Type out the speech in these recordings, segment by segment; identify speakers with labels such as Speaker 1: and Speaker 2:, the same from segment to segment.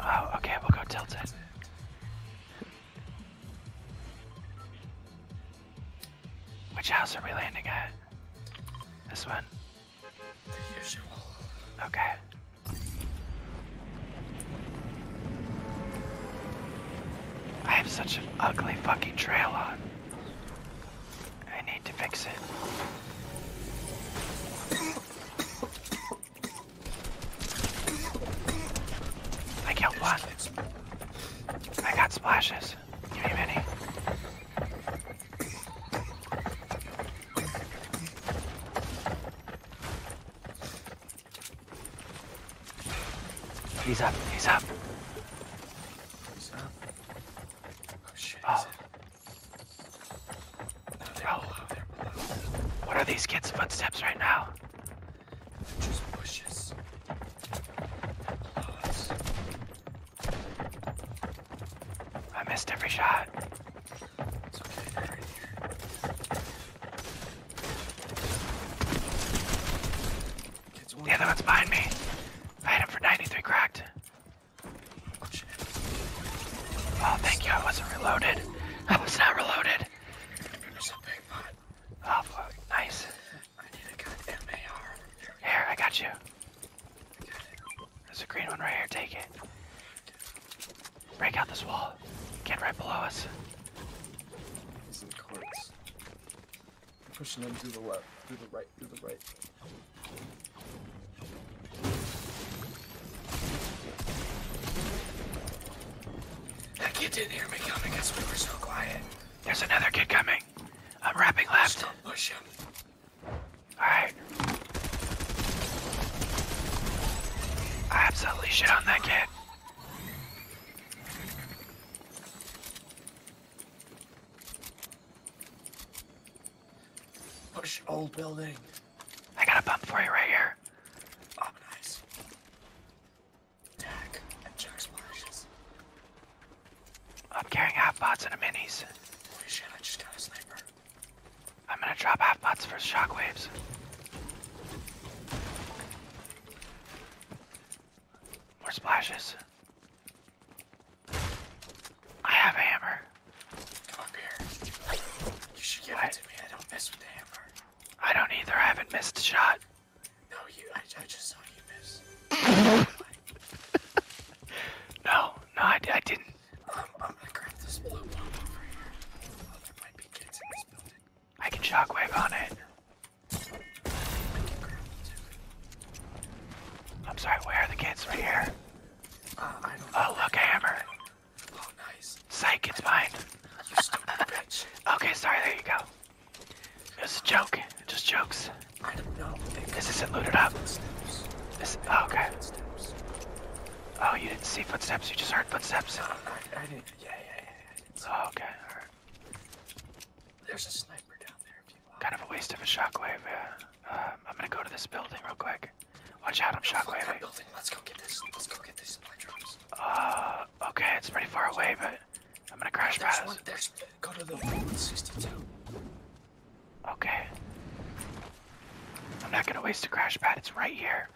Speaker 1: Oh, okay, we'll go tilted. Which house are we landing at? This one? Okay. I have such an ugly fucking trail on. I need to fix it. I killed one. I got splashes. Give me many. He's up, he's up. He's up. Oh shit. Oh. What are these kids' footsteps right now? They're just bushes. Lots. I missed every shot. It's okay, they're right here. Kids the other one's behind me. I hit him for 93 cracked. Oh, thank you. I wasn't reloaded. I was not reloaded. There's a big pot. Oh, fuck. Nice. I need a good MAR. Here, I got you. There's a green one right here. Take it. Break out this wall. Get right below us. He's in quartz. i pushing them to the left, through the right, through the right. That kid didn't hear me coming because we were so quiet. There's another kid coming. I'm wrapping left. Still push him. Alright. I absolutely shit on that kid. Push old building. I got a pump for you right here. Oh, nice. and jar splashes. I'm carrying half bots and a minis. Holy shit, I just got a sniper. I'm gonna drop half bots for shockwaves. More splashes. I have a hammer. You should give what? to me. I don't mess with the hammer. I don't either. I haven't missed a shot. No, you. I, just saw you miss. no, no, I, I didn't. Um, I'm gonna grab this blue bomb over here. I can shockwave on it. I'm sorry, where are the kids? from here. Uh, oh, look, a hammer. Oh, nice. Psych, it's mine. You stupid bitch. Okay, sorry, there you go. It a joke. Just jokes. I don't know. This isn't looted up. oh, okay. Oh, you didn't see footsteps, you just heard footsteps? Uh, I, didn't. Yeah, yeah, yeah. Oh, okay, There's a sniper down there Kind of a waste of a shockwave, yeah. Um, I'm gonna go to this building real quick. Watch out, I'm shockwaving. That Let's go get this. Let's go get these supply drops. Uh, okay, it's pretty far away, but I'm gonna crash past. Go to the 162. Okay. I'm not gonna waste a crash pad. It's right here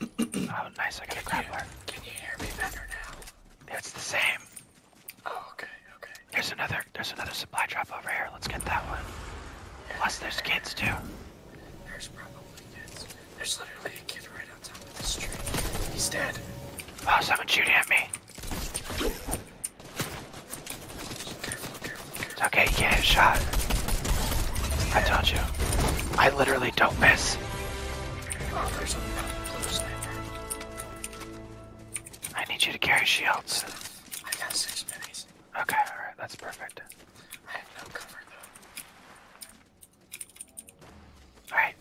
Speaker 1: oh, nice. I got can a grappler. You, can you hear me better now? It's the same. Oh, okay, okay. There's another. There's another supply drop over here. Let's get that one. Plus, there's kids too. There's probably kids. There's literally a kid right on top of this tree. He's dead. Oh, someone's shooting at me. It's okay, you can't shot. I told you. I literally don't miss. I need you to carry shields. I got six minis. Okay, alright, that's perfect. I have no cover though. Alright.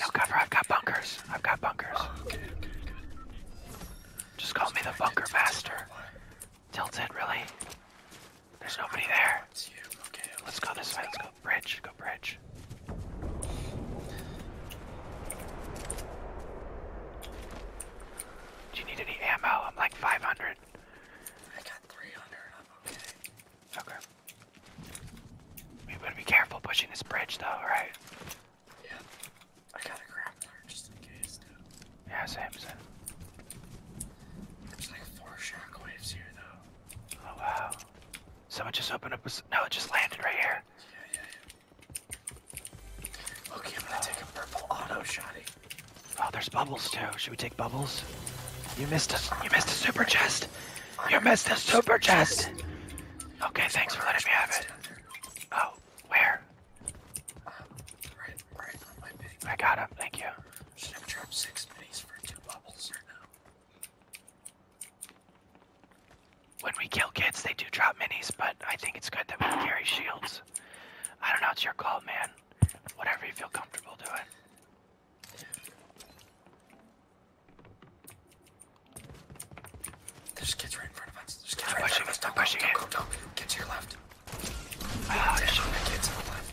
Speaker 1: No cover, I've got bunkers. I've got bunkers. Just call me the bunker master. Tilted, really? There's nobody there. It's you. Okay. Let's go this way. Let's go bridge. Go bridge. Do you need any ammo? I'm like 500. I got 300. I'm okay. Okay. We better be careful pushing this bridge, though, right? Yeah. I got a grappler just in case, yeah, Samson. There's like four shockwaves here, though. Oh, wow. Someone just opened up a. No, it just landed right here. Yeah, yeah, yeah. Okay, I'm gonna oh. take a purple auto shotty. Oh, there's bubbles too. Should we take bubbles? You missed us. You missed a super chest. You missed a super chest. Okay, thanks for letting me have it. Oh, where? I got him, thank you. I'm just six minis for two bubbles right now. When we kill kids, they do drop minis, but I think it's good that we carry shields. I don't know, it's your call, man. Whatever you feel comfortable doing. There's kids right in front of us. There's kids I'm right pushing, in front of us. Don't, I'm pushing don't, go, don't, go, don't. Get to your left. Ah, der shot that gets online.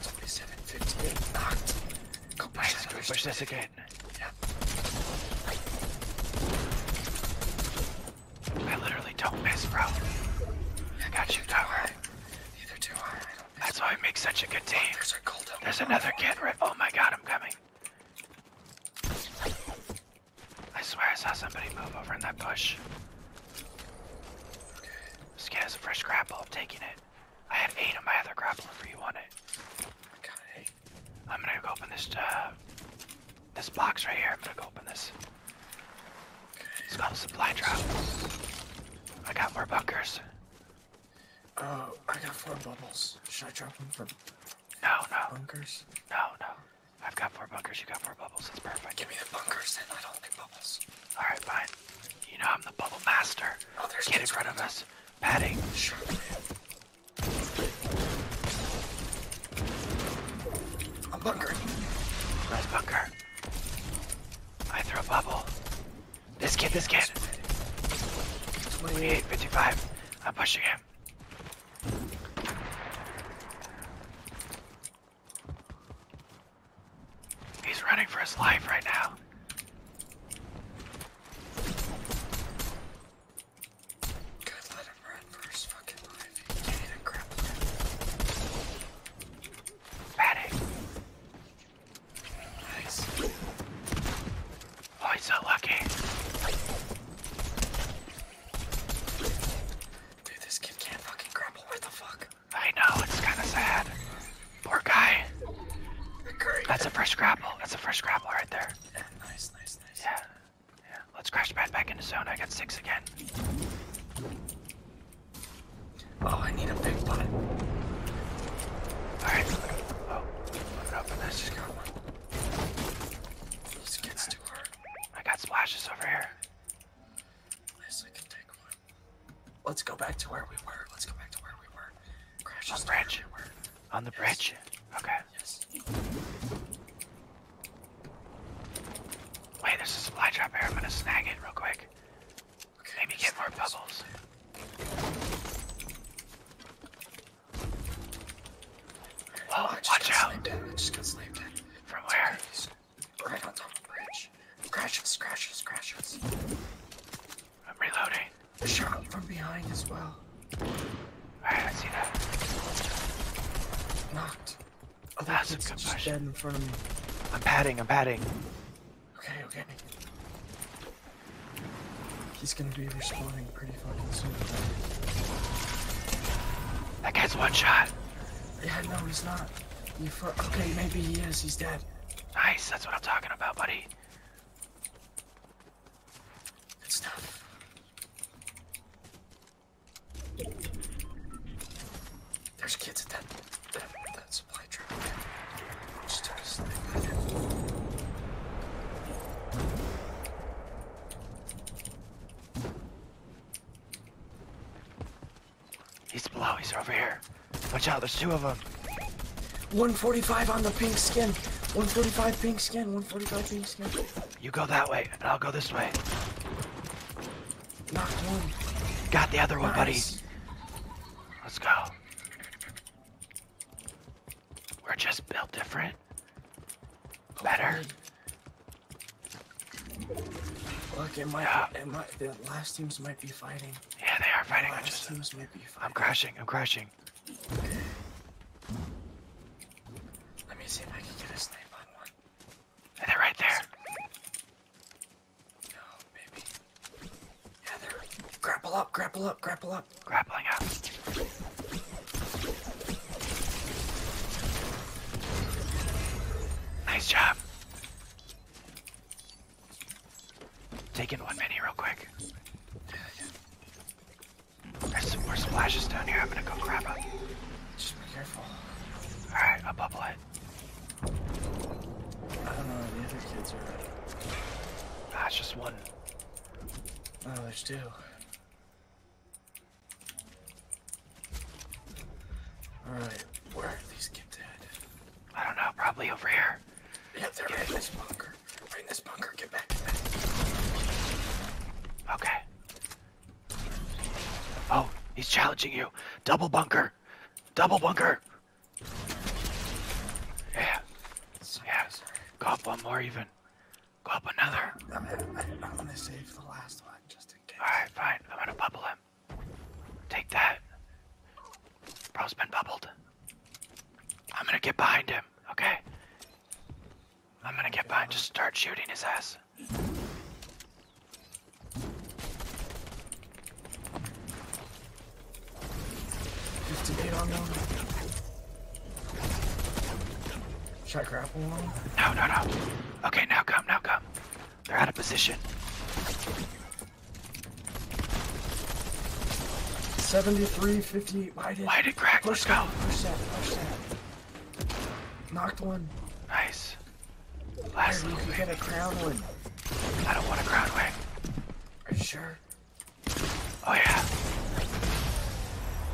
Speaker 1: Somebody 750 knocked. Go push nice, push, push this again. Yeah. I literally don't miss, bro. I got you, Tower. Neither do I. That's why we make such a good team. there's, another kid right. Oh my god, I'm coming. I swear I saw somebody move over in that bush. Okay. This guy has a fresh grapple. I'm taking it. I have eight of my other grappler If you want it. I I'm gonna go open this uh, this box right here. I'm gonna go open this. Okay. has got a supply drop. I got more bunkers. Oh, I got four bubbles. Should I drop them from no, no. bunkers? No, no. I've got four bunkers, you got four bubbles. That's perfect. Give me the bunkers and I don't think bubbles. Alright, fine. You know I'm the bubble master. Oh, there's Get in front of us. Patty. Sure, I'm bunkering. Nice bunker. I throw a bubble. This kid, this kid. 28, I'm pushing him. He's running for his life right now. God, let him run for fucking life. He can't even grab Patty. Nice. Oh, he's so lucky. Dude, this kid can't fucking grapple. What the fuck? I know, it's kind of sad. Poor guy. That's a first grapple. That's a first grapple right there. Yeah, Yeah. Let's crash pad back into zone. I got six again. Oh, I need a big pot. Alright. Oh, put it up and that's just got to This too hard. I got splashes over here. Let's go back to where we were. Let's go back to where we were. Crash on bridge. on the bridge. Okay. Wait, there's a supply drop here. I'm gonna snag it real quick. Maybe get more bubbles. Whoa, watch out! It. it just got slammed in. From where? Right on top of the bridge. Crashes, crashes, crashes. I'm reloading. A shot from behind as well. Alright, I see that. Knocked. Oh, that's a concussion. Dead in front of me. I'm padding, I'm padding. Okay, okay. He's gonna be respawning pretty fucking soon. That guy's one shot. Yeah, no, he's not. okay, maybe he is. He's dead. Nice. That's what I'm talking about, buddy. Good stuff. There's kids at that, that, supply truck. He's below. He's over here. Watch out. There's two of them. 145 on the pink skin. 145 pink skin. 145 pink skin. You go that way, and I'll go this way. Got the other one, buddy. Let's go. We're just built different. Better. Look, it might, yeah. it might, the last teams might be fighting. Yeah, they are fighting. The last teams might be fighting. I'm crashing. I'm crashing. Let me see if I can get a snipe on one. they're right there. No, maybe. Yeah, they're. Grapple up! Grapple up! Grapple up! Grappling up. Nice job. Taking one mini real quick. There's some more splashes down here. I'm gonna go grab them. Just be careful. Alright, I'll bubble I don't know, the other kids are ready. Ah, just one. Oh, there's two. Alright, where are these kids I don't know, probably over here. Yeah, they're in this bunker. in this bunker, get back, get that. Okay. Oh, he's challenging you. Double bunker. Double bunker. Yeah. Yeah. Go one more even. Go up another. I'm gonna save the last one just in case. Alright, fine. I'm gonna bubble him. Take that. Bro's been bubbled. I'm gonna get behind him, okay? I'm gonna get behind, just start shooting his ass. Fifty-eight to get on them. Should I grapple on? No, no, no. Okay, now come, now come. They're out of position. Seventy-three, fifty-eight. 50, lighted. crack, let's go. Knocked one. Nice. Last Here, you can a crown wing. I don't want a crown wing. Are you sure? Oh yeah.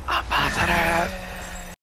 Speaker 1: I'm positive.